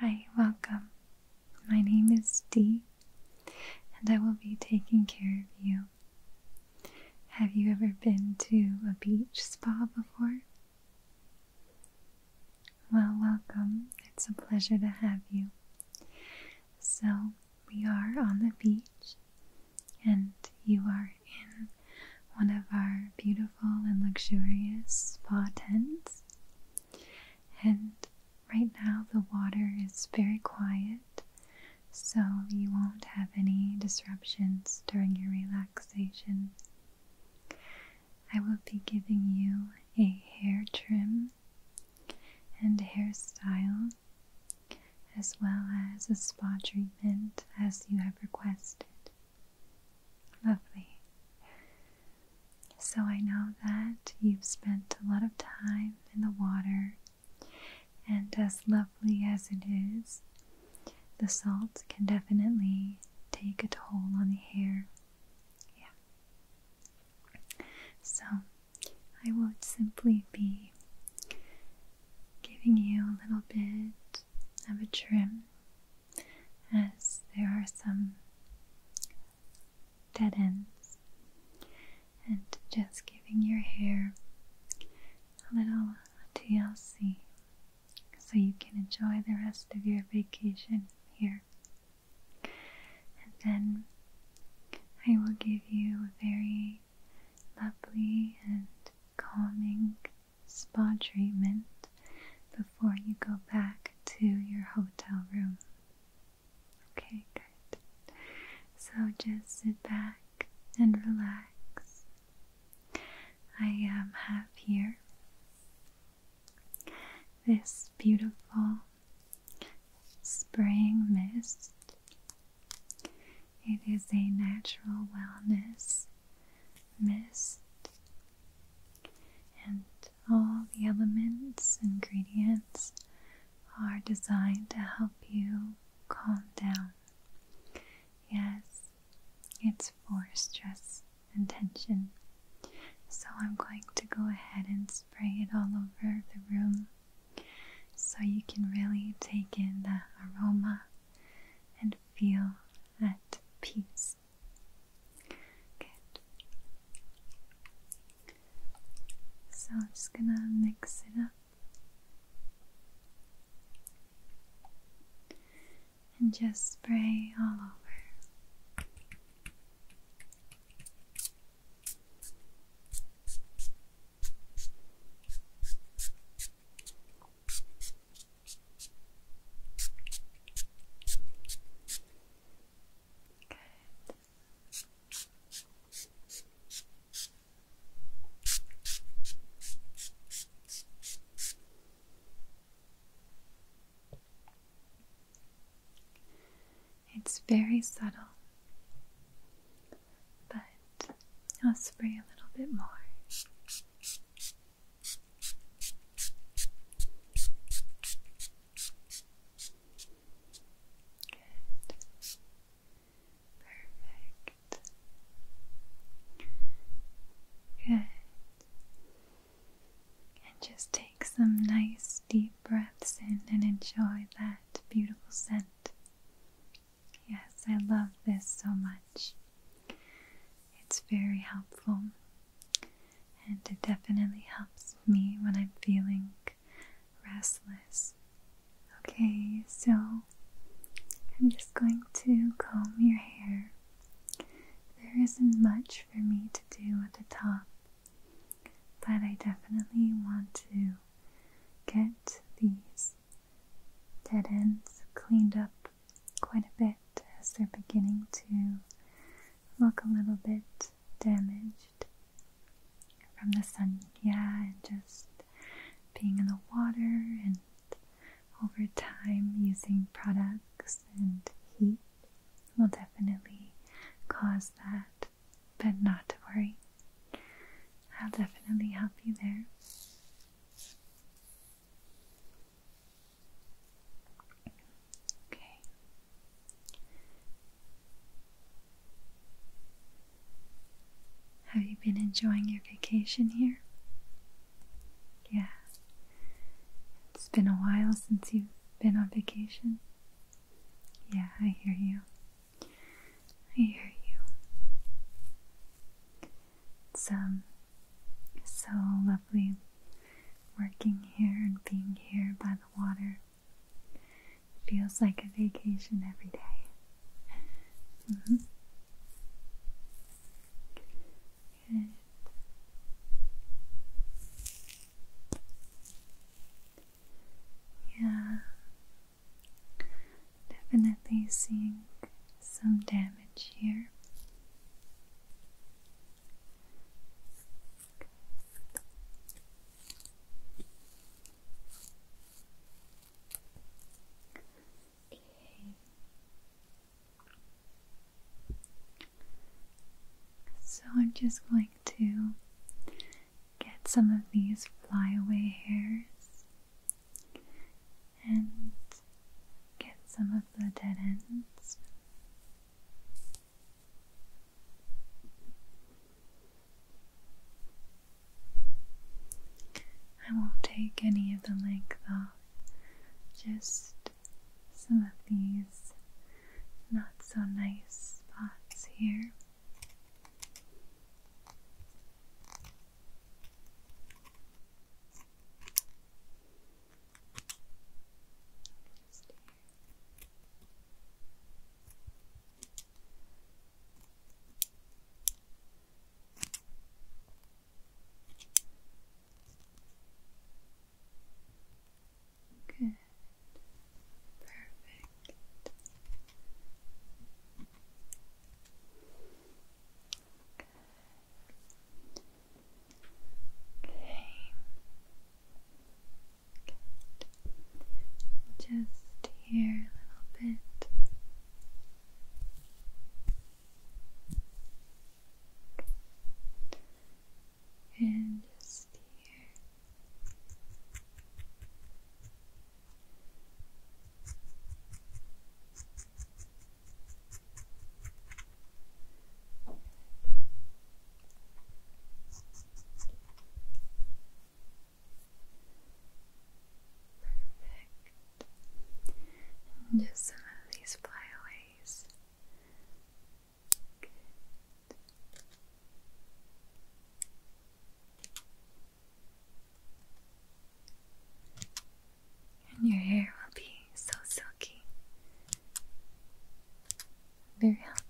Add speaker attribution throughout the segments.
Speaker 1: Hi, welcome. My name is Dee, and I will be taking care of you. Have you ever been to a beach spa before? Well, welcome. It's a pleasure to have you. So, we are on the beach, and you are in one of our beautiful and luxurious spa tents. And right now, the water is very quiet, so you won't have any disruptions during your relaxation. I will be giving you a hair trim and hairstyle as well as a spa treatment as you have requested. Lovely. So I know that you've spent a lot of time in the water, and as lovely as it is, the salt can definitely take a toll on the hair. Yeah. So I would simply be giving you a little bit have a trim as there are some dead ends and just giving your hair a little TLC so you can enjoy the rest of your vacation here. And then I will give you a very lovely and calming spa treatment before you go back to your hotel room. Okay, good. So just sit back and relax. I um, have here this beautiful spring mist. It is a natural wellness mist, and all the elements, ingredients are designed to help you calm down. Yes, it's for stress and tension. So I'm going to go ahead and spray it all over the room so you can really take in the aroma and feel at peace. So I'm just gonna mix it up. And just spray all over. It's very subtle, but I'll spray a little bit more. Good. Perfect. Good. And just take some nice deep breaths in and enjoy that beautiful scent. Yes, I love this so much. It's very helpful and it definitely helps me when I'm feeling restless. Okay, so I'm just going to comb your hair. There isn't much for me to do at the top, but I definitely want to get these dead ends cleaned up quite a bit as they're beginning to look a little bit damaged from the sun, yeah, and just being in the water and over time using products and heat will definitely cause that, but not to worry. I'll definitely help you there. Have you been enjoying your vacation here? Yeah. It's been a while since you've been on vacation. Yeah, I hear you. I hear you. It's um, so lovely working here and being here by the water. feels like a vacation every day. Mm-hmm. Good. Yeah, Definitely seeing some damage here. Okay. So I'm just going to get some of these flyaway hairs and get some of the dead ends. I won't take any of the length off, just some of these not so nice spots here. Good. Perfect. Good. Okay. Good. Just here a little bit. And just here. Perfect. And just some of these flyaways and your hair will be so silky, very healthy.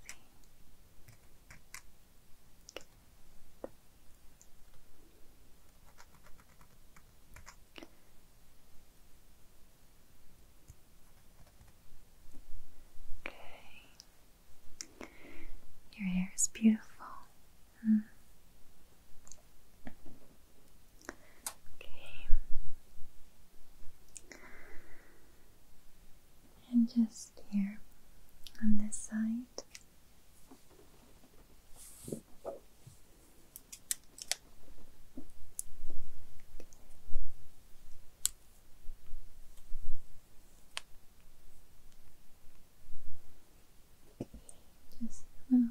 Speaker 1: Okay. Your hair is beautiful. Mm. Okay. And just here on this side. Just a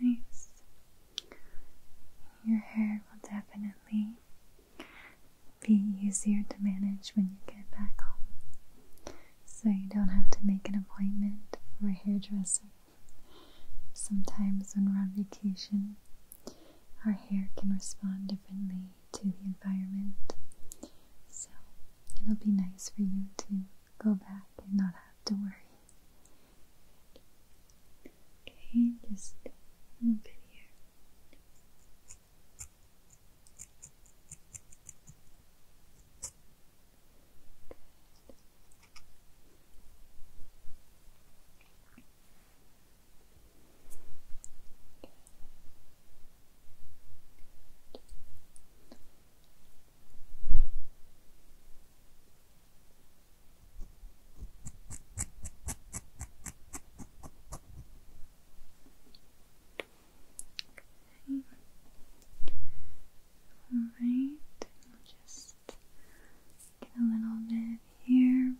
Speaker 1: very nice. Your hair will definitely be easier to manage when you get back home. So you don't have to make an appointment for a hairdresser. Sometimes, when we're on vacation, our hair can respond differently to the environment. So, it'll be nice for you to go back and not have to worry. Okay, just a little bit here. Okay. All just get a little bit here.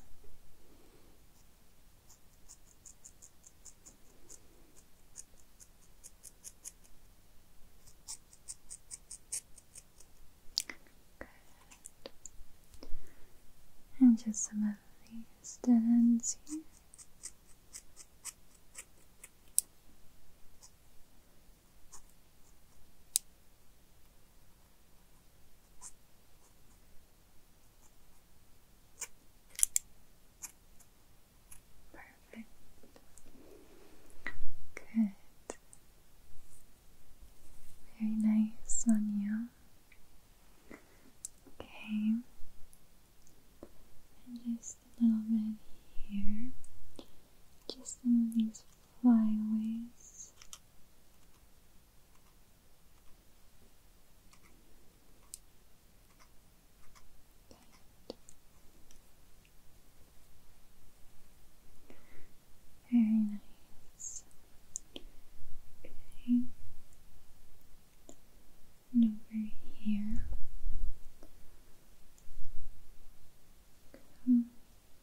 Speaker 1: And just some of these dead ends here. Perfect. Good. Very nice on you. Okay. And just a little bit here. Just some of these flyaways. Very nice. Okay. over here. Come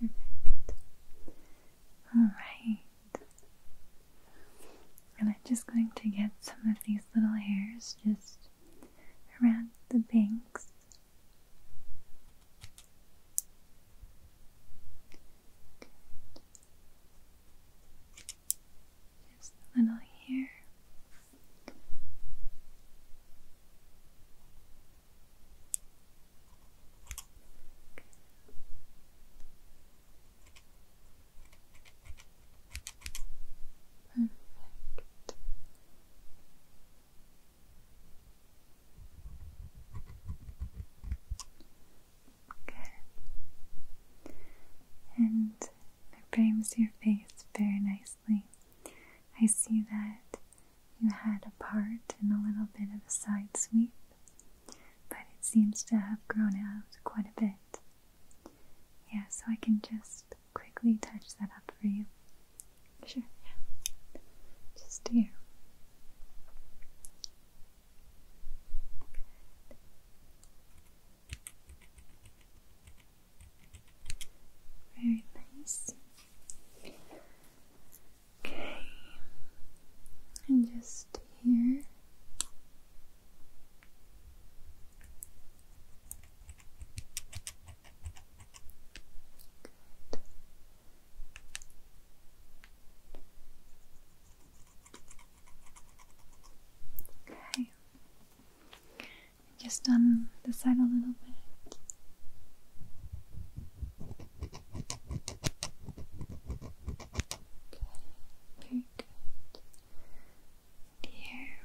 Speaker 1: Perfect. Alright. And I'm just going to get some of these little hairs just around the banks. Just a little here. Perfect. Good. And it frames your face very nicely. I see that you had a part and a little bit of a side sweep, but it seems to have grown out quite a bit. Yeah, so I can just quickly touch that up for you. Sure, yeah. Just here. Very nice. Okay, and just here. Good. Okay, just on the side a little bit. Okay, very good. And here.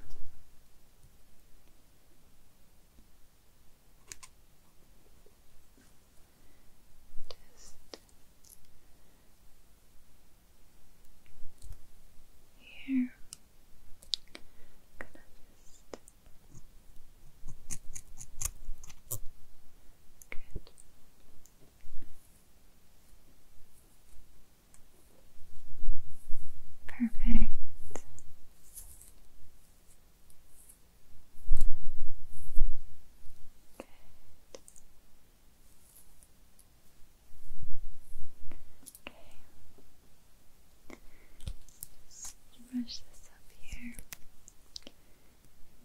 Speaker 1: Just here. I'm gonna just Perfect. Good. Okay brush this up here.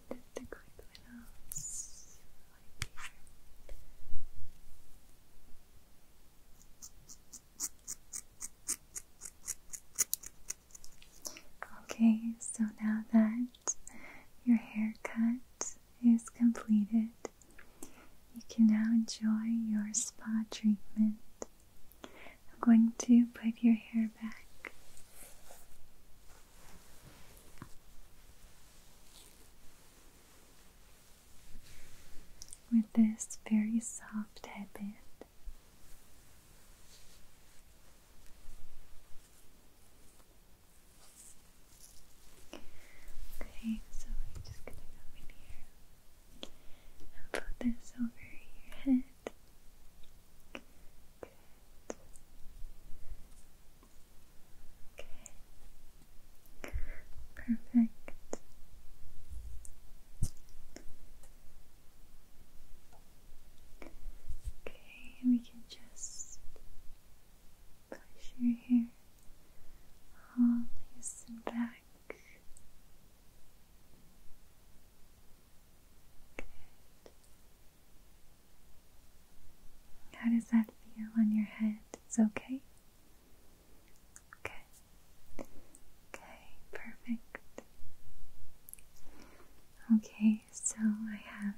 Speaker 1: Dip the quick little wipe Okay, so now that your haircut is completed, you can now enjoy your spa treatment. I'm going to put your hair back. With this very soft headband. Okay, so we're just gonna go in here and put this over your head. Okay. Perfect. Okay, we can just push your hair all loose and back. How does that feel on your head? It's okay? Good. Okay, perfect. Okay, so I have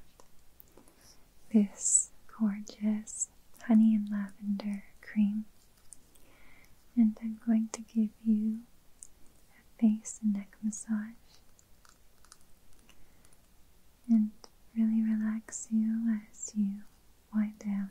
Speaker 1: this gorgeous honey and lavender cream, and I'm going to give you a face and neck massage and really relax you as you wind down.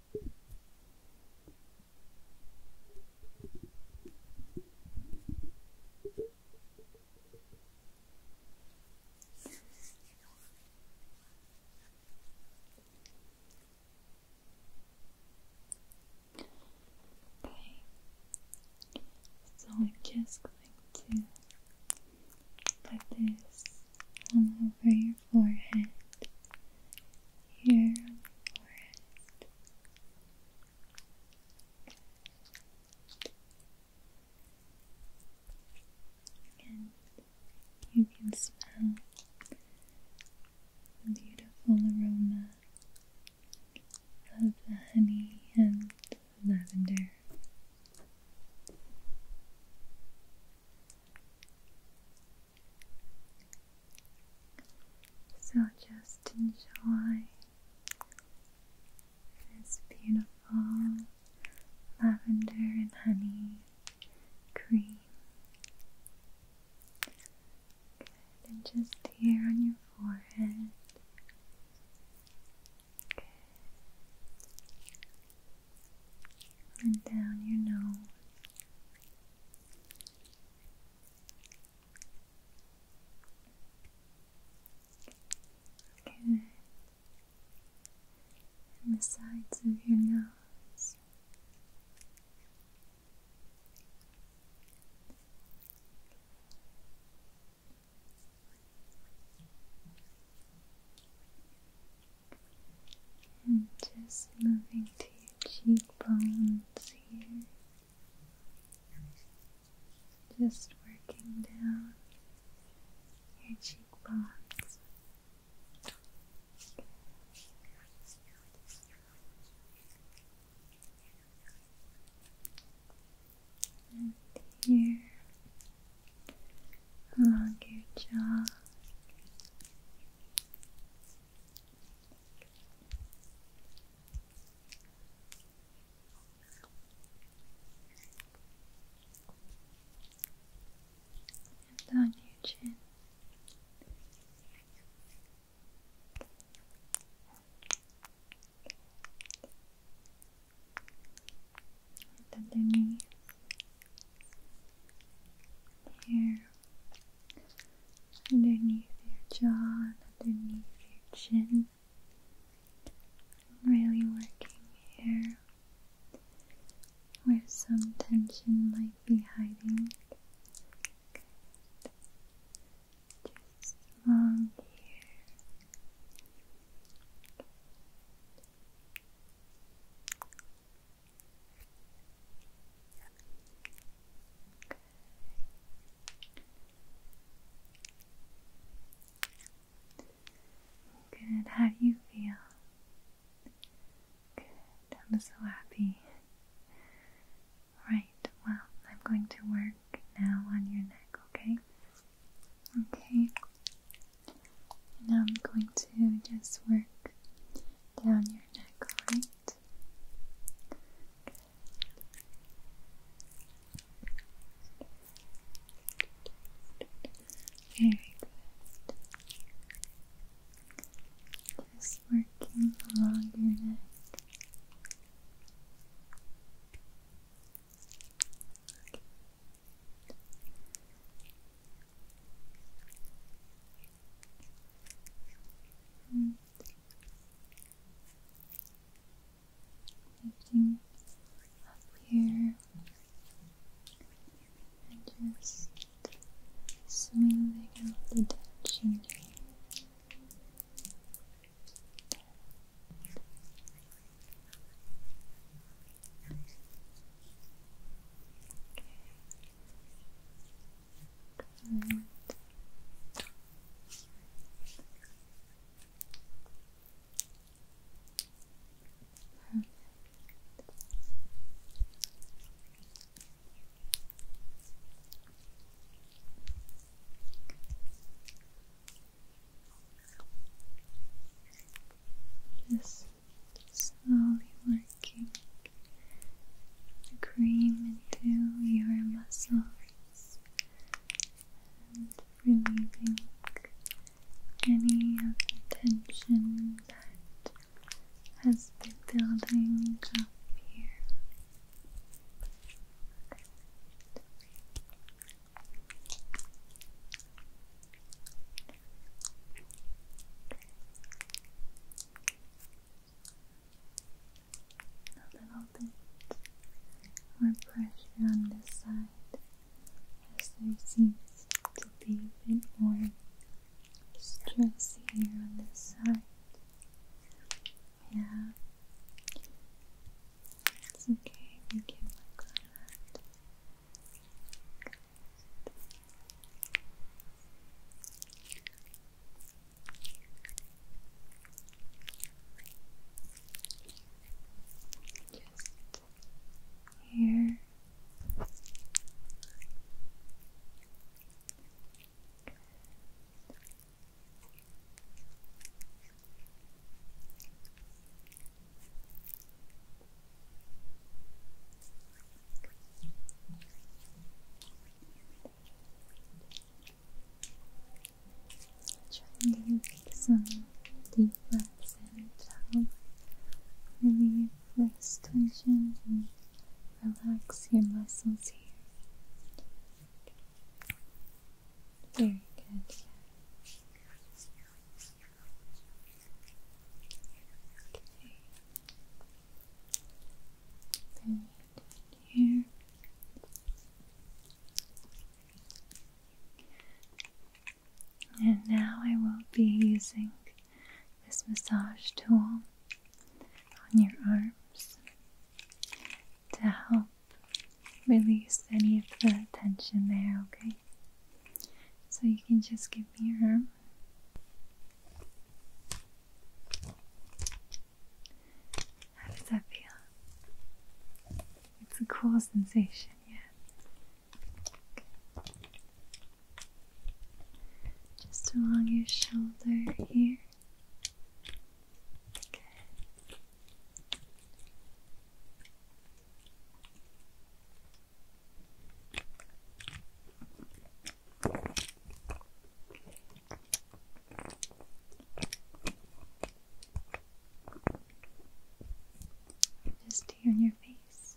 Speaker 1: Okay, so I'm just going to put this all over your forehead here And you can smell the beautiful aroma of the honey and lavender. So just enjoy this beautiful lavender and honey cream. and just here on your forehead. And down your nose. And the sides of your nose. And just moving to your cheekbone. Just working down your cheekbones. And here along your jaw. And on your chin. underneath here underneath your jaw underneath your chin. really working here where some tension might be hiding. Just along here. Good, how do you feel? I'm so happy. Right, well, I'm going to work now on your neck, okay? Okay. Now I'm going to just work down your neck, alright? Very good. Just working along your neck. -hmm. Lifting up here and just smoothing out the tension. Good. Perfect. Just slowly working the cream into your muscles and relieving any of the tension that has been building up here a little bit more pressure on this side as there seems to be a bit more stress here on this side. Yeah, it's okay, we can work on that. Just here. Trying to make some deep breaths and to help relieve wrist tension and relax your muscles here. Very good. Okay. Very here. And now I will be using this massage tool on your arms to help release any of the tension there, okay? So you can just give me your arm. How does that feel? It's a cool sensation, yeah. Just along your shoulder here. Okay. Just tear in your face.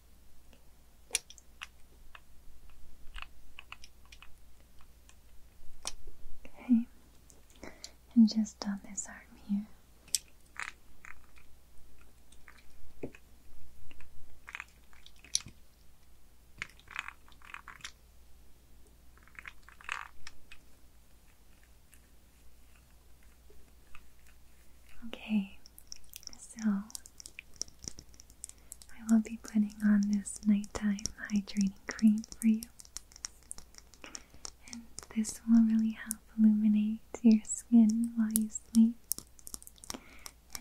Speaker 1: Okay, and just on this arm here. Okay, so, I will be putting on this nighttime hydrating cream for you. And this will really help illuminate your skin while you sleep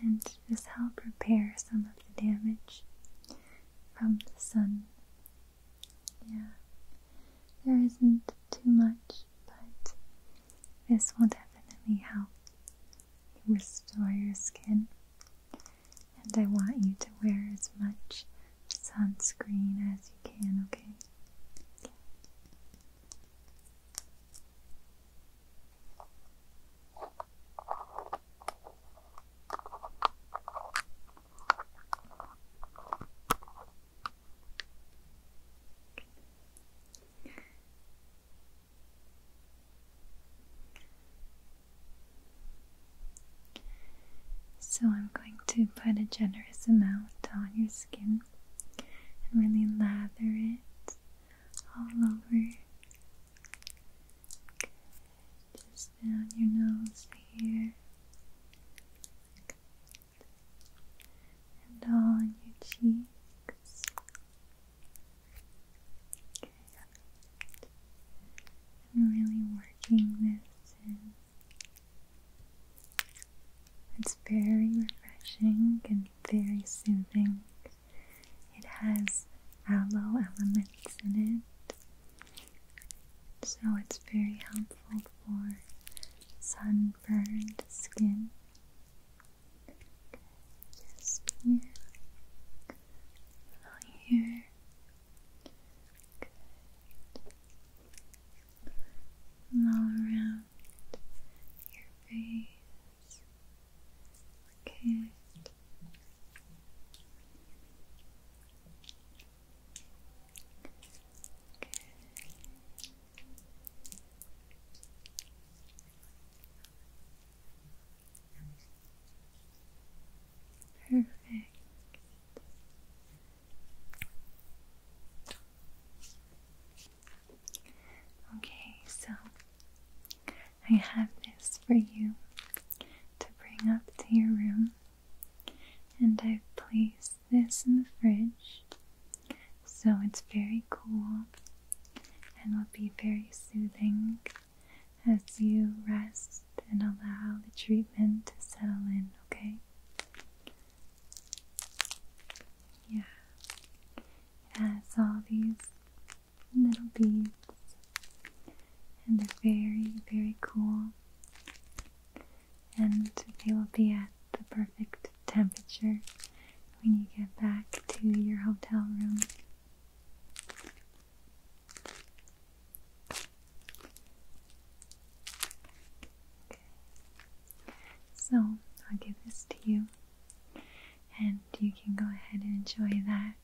Speaker 1: and just help repair some of the damage from the sun. Yeah, there isn't too much, but this will definitely help restore your skin. And I want you to wear as much sunscreen as you can, okay? So, I'm going to put a generous amount on your skin and really lather it all over. Just down your nose here. And all on your cheeks. I'm really working this and It's very refreshing and very soothing. It has aloe elements in it, so it's very helpful for sunburned skin. Yes, here. All here. all around your face. Okay. Perfect. Okay, so I have this for you to bring up to your room, and I've placed this in the fridge so it's very cool and will be very soothing as you rest and allow the treatment to settle in, okay? Yeah, it has all these little beads, and they're very, very cool. And they will be at the perfect temperature when you get back to your hotel room. So I'll give this to you, and you can go ahead and enjoy that,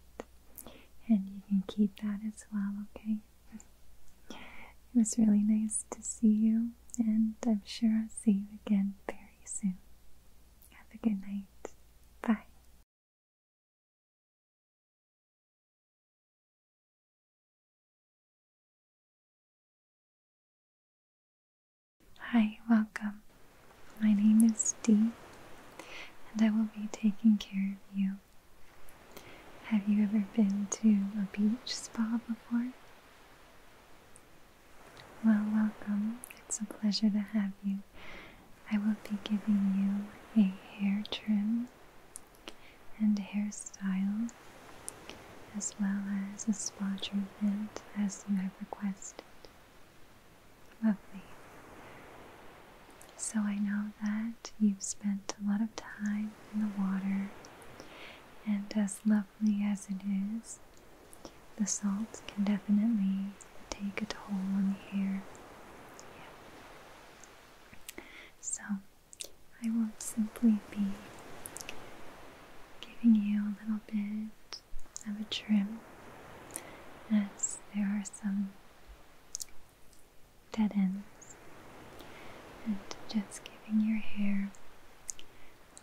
Speaker 1: and you can keep that as well, okay? It was really nice to see you, and I'm sure I'll see you again very soon. Have a good night. Bye. Hi, welcome. My name is Dee, and I will be taking care of you. Have you ever been to a beach spa before? Well, welcome. It's a pleasure to have you. I will be giving you a hair trim and hairstyle as well as a spa treatment as you have requested. Lovely. So I know that you've spent a lot of time in the water and as lovely as it is, the salt can definitely take a all on here. Yeah. So I will not simply be giving you a little bit of a trim as there are some dead ends and just giving your hair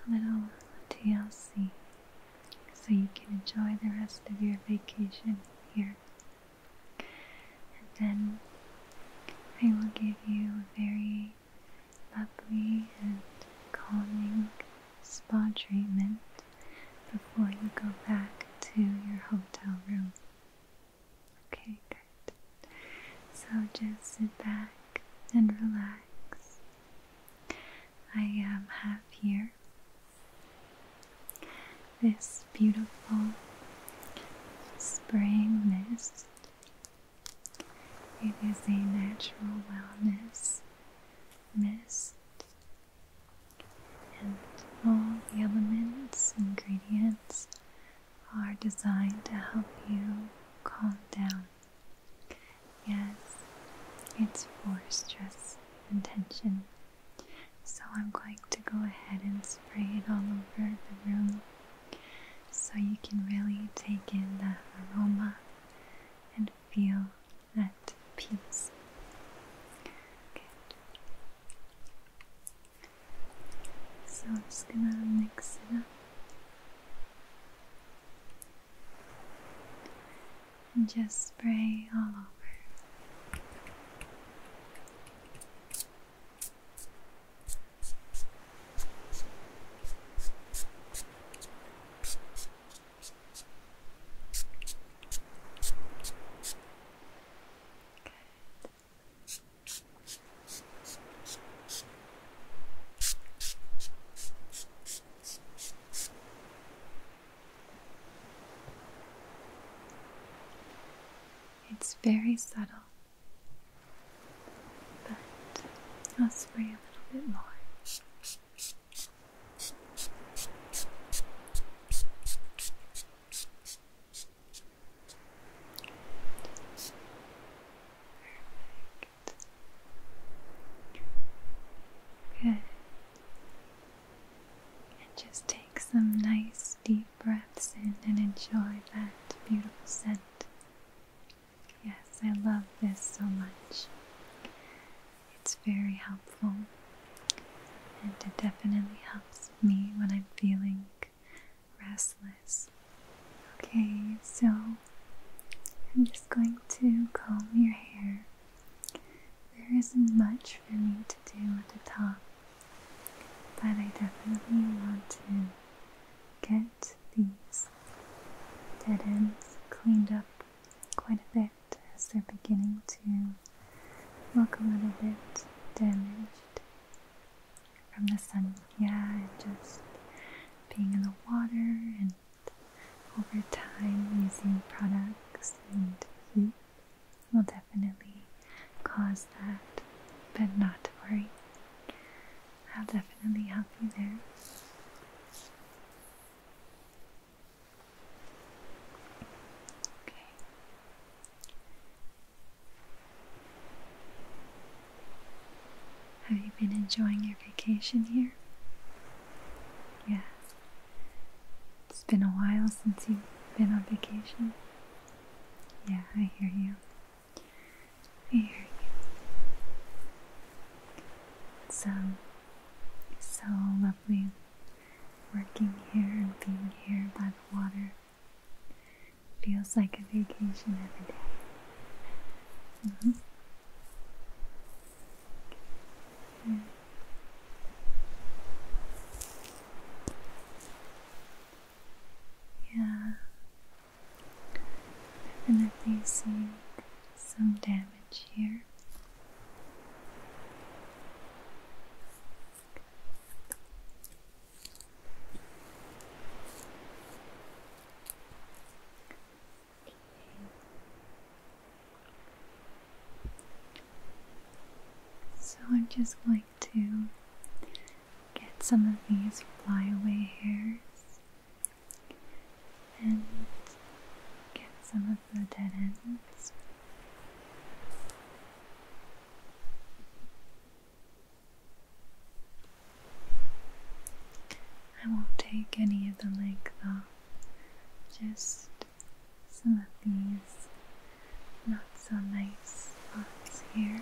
Speaker 1: a little TLC so you can enjoy the rest of your vacation here. And then I will give you a very lovely and calming spa treatment before you go back to your hotel room. Okay, good. So just sit back and relax. I am um, have here this beautiful spring mist. It is a natural wellness mist, and all the elements, ingredients are designed to help you calm down. Yes, it's for stress and tension. So I'm going to go ahead and spray it all over the room so you can really take in the aroma and feel that peace. Good. So I'm just gonna mix it up and just spray all over. It's very subtle, but I'll spray a little bit more. Perfect. And just take some nice deep breaths in and enjoy that beautiful scent. Yes, I love this so much. It's very helpful and it definitely helps me when I'm feeling restless. Okay, so I'm just going to comb your hair there isn't much for me to do at the top, but I definitely want to get these dead ends cleaned up quite a bit as they're beginning to look a little bit damaged from the sun. Yeah, and just being in the water and over time using products and heat will definitely cause that, but not to worry. I'll definitely help you there. Okay. Have you been enjoying your vacation here? Yes. It's been a while since you've been on vacation. Yeah, I hear you. I hear you. It's um, so lovely working here and being here by the water. Feels like a vacation every day. Mm-hmm. Yeah, definitely seeing some damage here. So I'm just going to get some of these flyaway hairs and get some of the dead ends. I won't take any of the length off, just some of these not so nice spots here.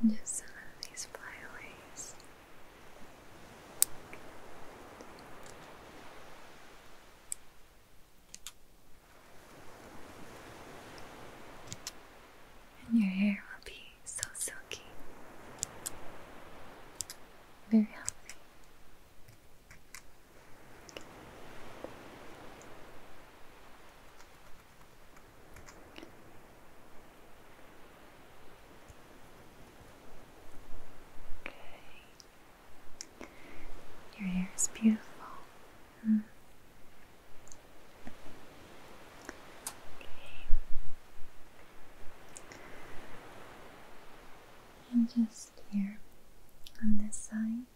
Speaker 1: And just some of these flyaways. And your hair will be so silky, very healthy. Your hair is beautiful. Mm-hmm. And just here on this side.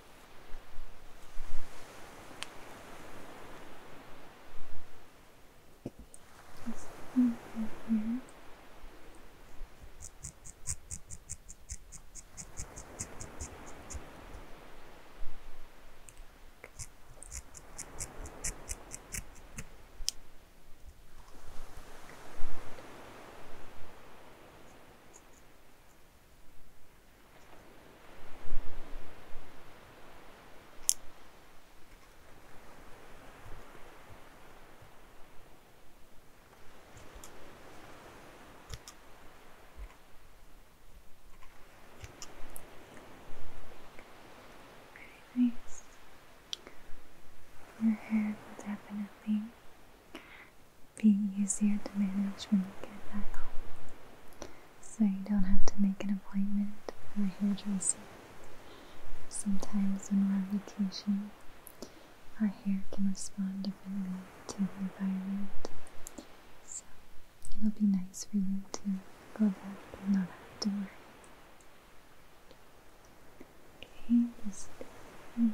Speaker 1: Just over very nice. Your hair will definitely be easier to manage when you get back home. So you don't have to make an appointment for a hairdresser. Sometimes when we're on vacation, our hair can respond differently to the environment. So it'll be nice for you to go back and not have to worry. Okay, just look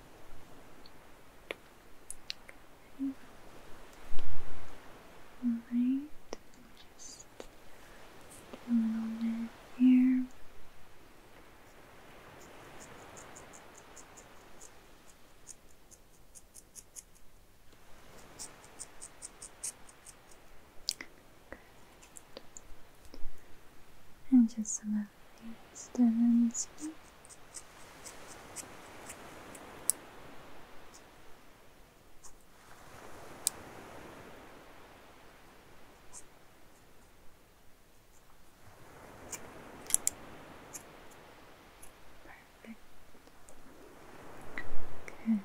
Speaker 1: Okay. Alright, just a little bit here. And just some distance. Perfect. Good.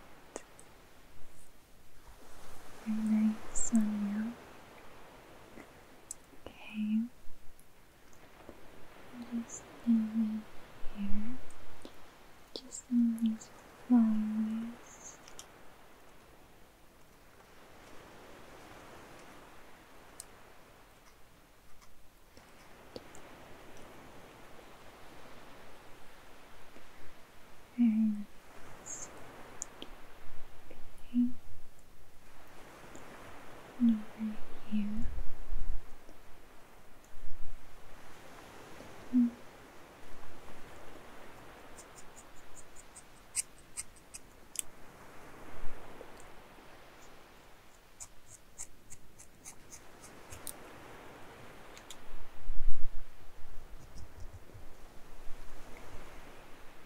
Speaker 1: Very nice on you. Okay. Just in here. Just in these flowers. Very nice. Okay and over here.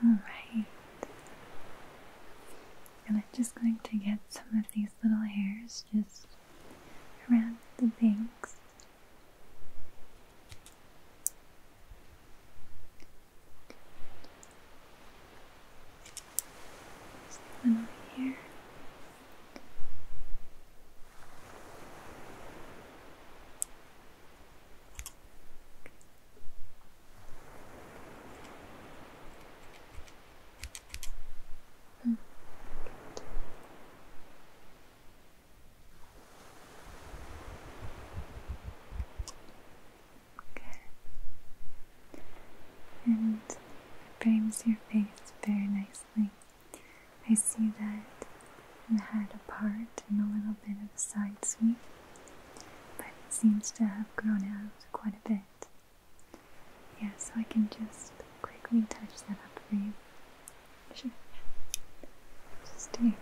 Speaker 1: All right. And I'm just going to get some of these little hairs just around the banks. Just one over here. Hmm. Okay. And it frames your face very nicely. I see that you had a part and a little bit of a side sweep, but it seems to have grown out quite a bit. Yeah, so I can just quickly touch that up for you. Sure. Just do.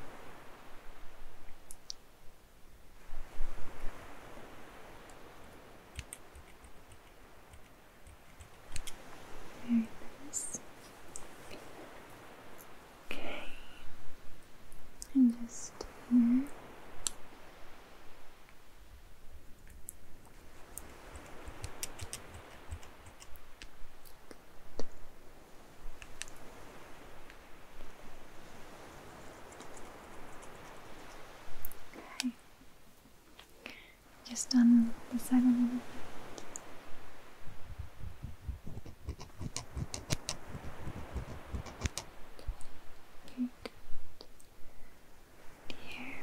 Speaker 1: Very nice. Okay. And just here. Just on the side a little Here.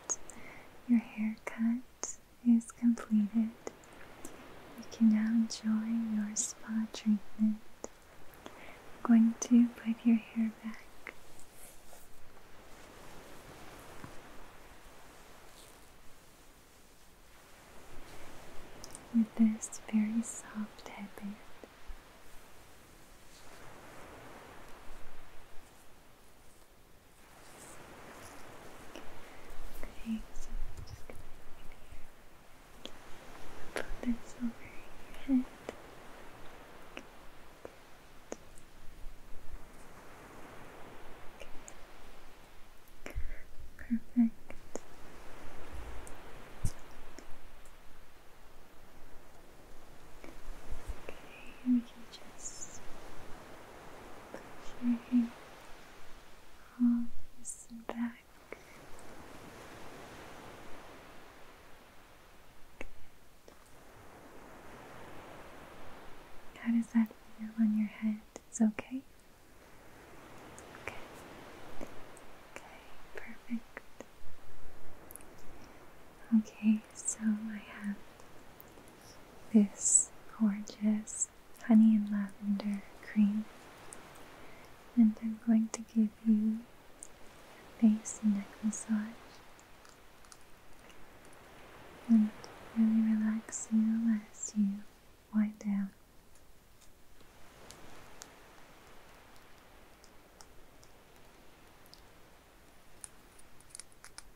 Speaker 1: your haircut is completed. You can now enjoy your spa treatment. I'm going to put your hair back. With this very soft headband. Okay, so I'm just gonna put this over your head. Okay. Perfect. Okay, we can just Sorry. All this back. How does that feel on your head? It's okay? Okay. Okay, perfect. Okay, so I have this gorgeous honey and lavender cream. And I'm going to give you a face and neck massage and really relax you as you wind down.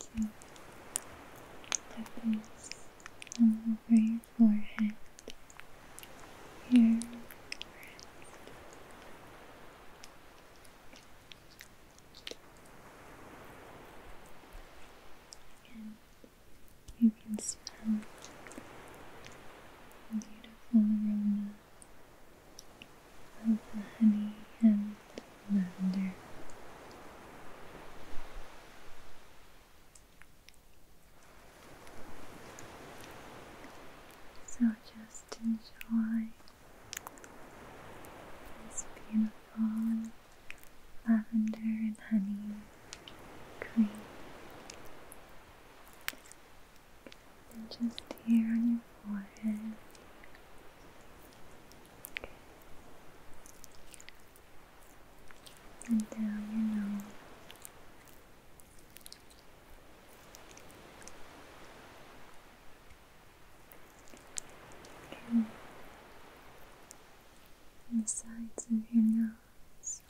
Speaker 1: So happens all over forehead, your wrist. you can smell the beautiful aroma of the honey and lavender. So just enjoy this beautiful lavender and honey cream. And just here on your forehead, and down your nose. and The sides of your nose.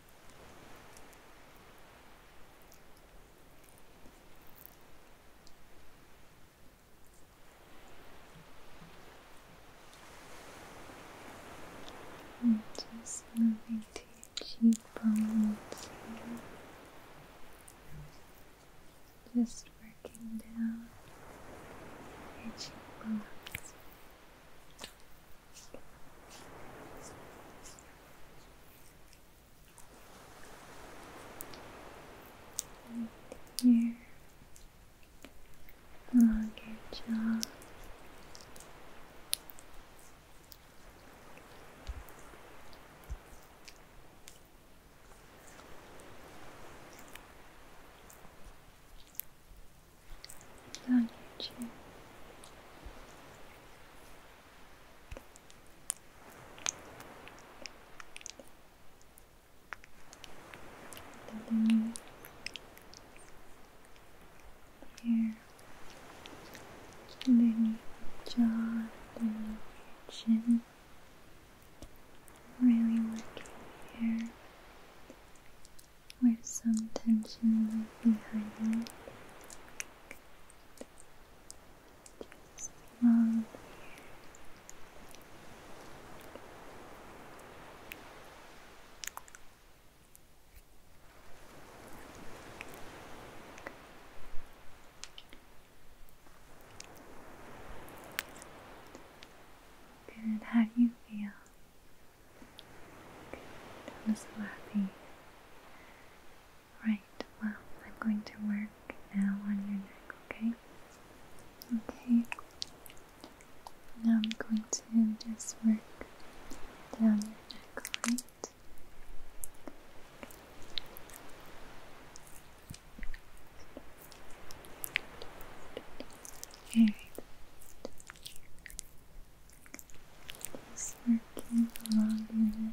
Speaker 1: And just moving to your cheekbones here. Just working down your cheekbones. Yeah. longer jaw. On your here, underneath your jaw, underneath your chin. Really working here, where some tension might be hiding. Just along here. Good, how do you feel? I'm so happy. Right, well, I'm going to wear now on your neck, okay? Okay. Now I'm going to just work down your neck, right? Just working along your neck.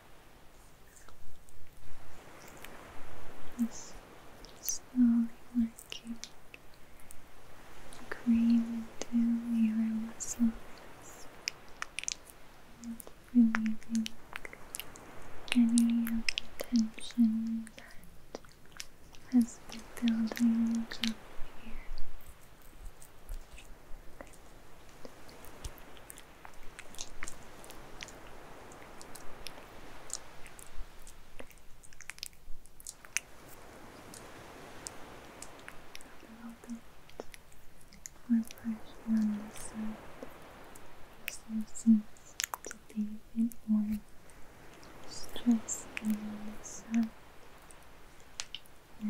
Speaker 1: Just slowly working the cream into your muscles and relieving any of the tension that has been building up here. I'm bit more pressure on this side. This one to be a bit more on this side. Yeah.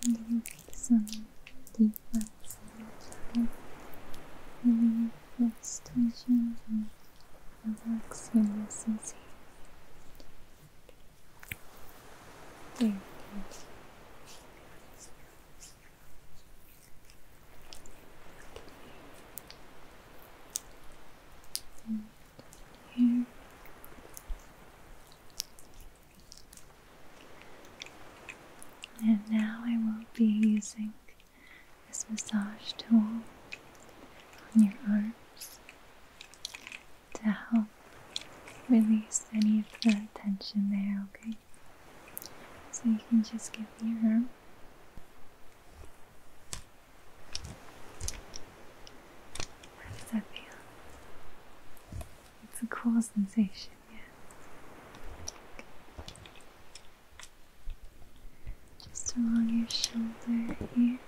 Speaker 1: Trying to some deep breaths in relieve this tension and relax your muscles here. And now I will be using this massage tool on your arms to help release any of the tension there, okay? So you can just give me your arm. How does that feel? It's a cool sensation, yeah. Just along your shoulder here.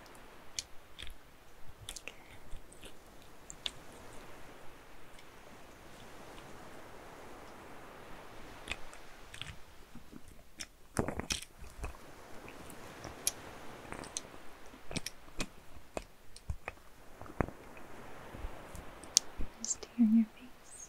Speaker 1: Just here in your face.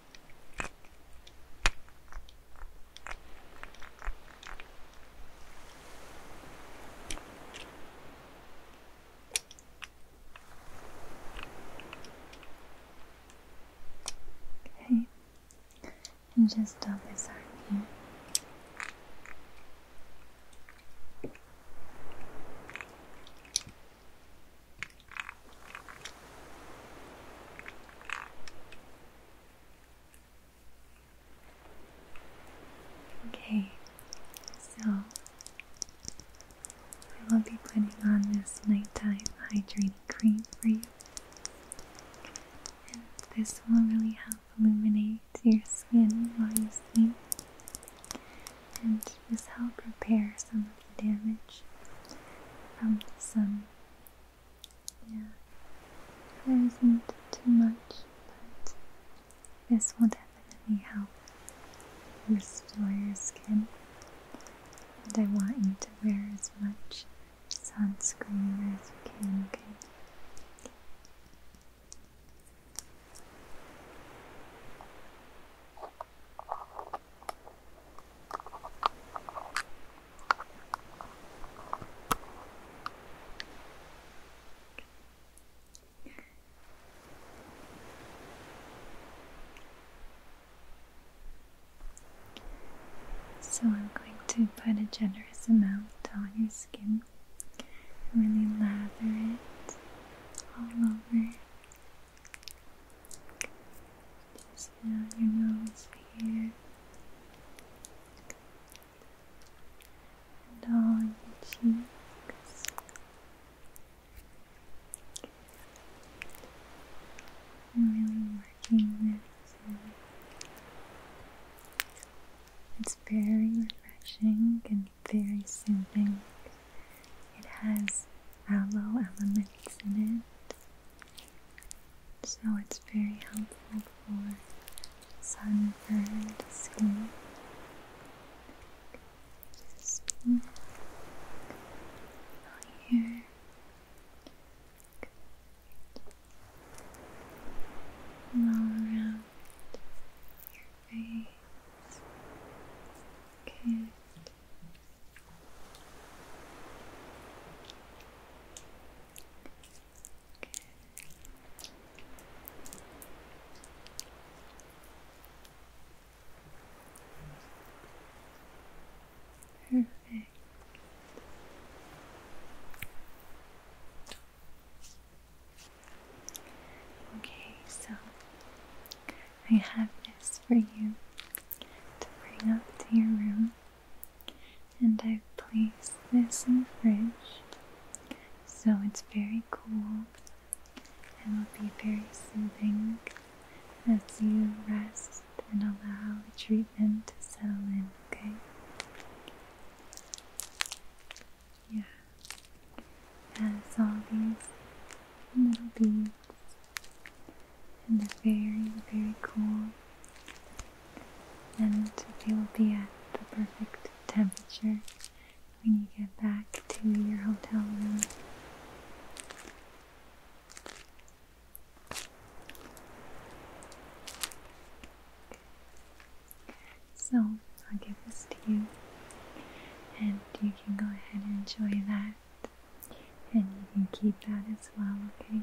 Speaker 1: Okay, and just dot this arm here. Okay, so I will be putting on this nighttime hydrating cream for you. And this will really help illuminate your skin while you sleep and just help repair some of the damage from the sun yeah, there isn't too much, but this will definitely help restore your skin. And I want you to wear as much sunscreen as you can, okay? So, I'm going to put a generous amount on your skin, really lather it all over. Just down your nose here. And on your cheeks. I'm really working this. It's very refreshing and very soothing. It has aloe elements in it, so it's very helpful for sunburned skin. Just all around your face. Good. Perfect. Okay, so I have this for you to bring up to your room. And I've placed this in the fridge so it's very cool and will be very soothing as you rest and allow the treatment to settle in, okay? Yeah, as all these little beads and they're very, very cool and it will be at the perfect temperature when you get back to your hotel room. So I'll give this to you, and you can go ahead and enjoy that, and you can keep that as well, okay?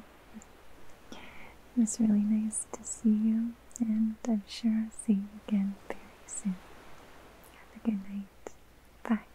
Speaker 1: It was really nice to see you, and I'm sure I'll see you again very soon. Have a good night. Bye.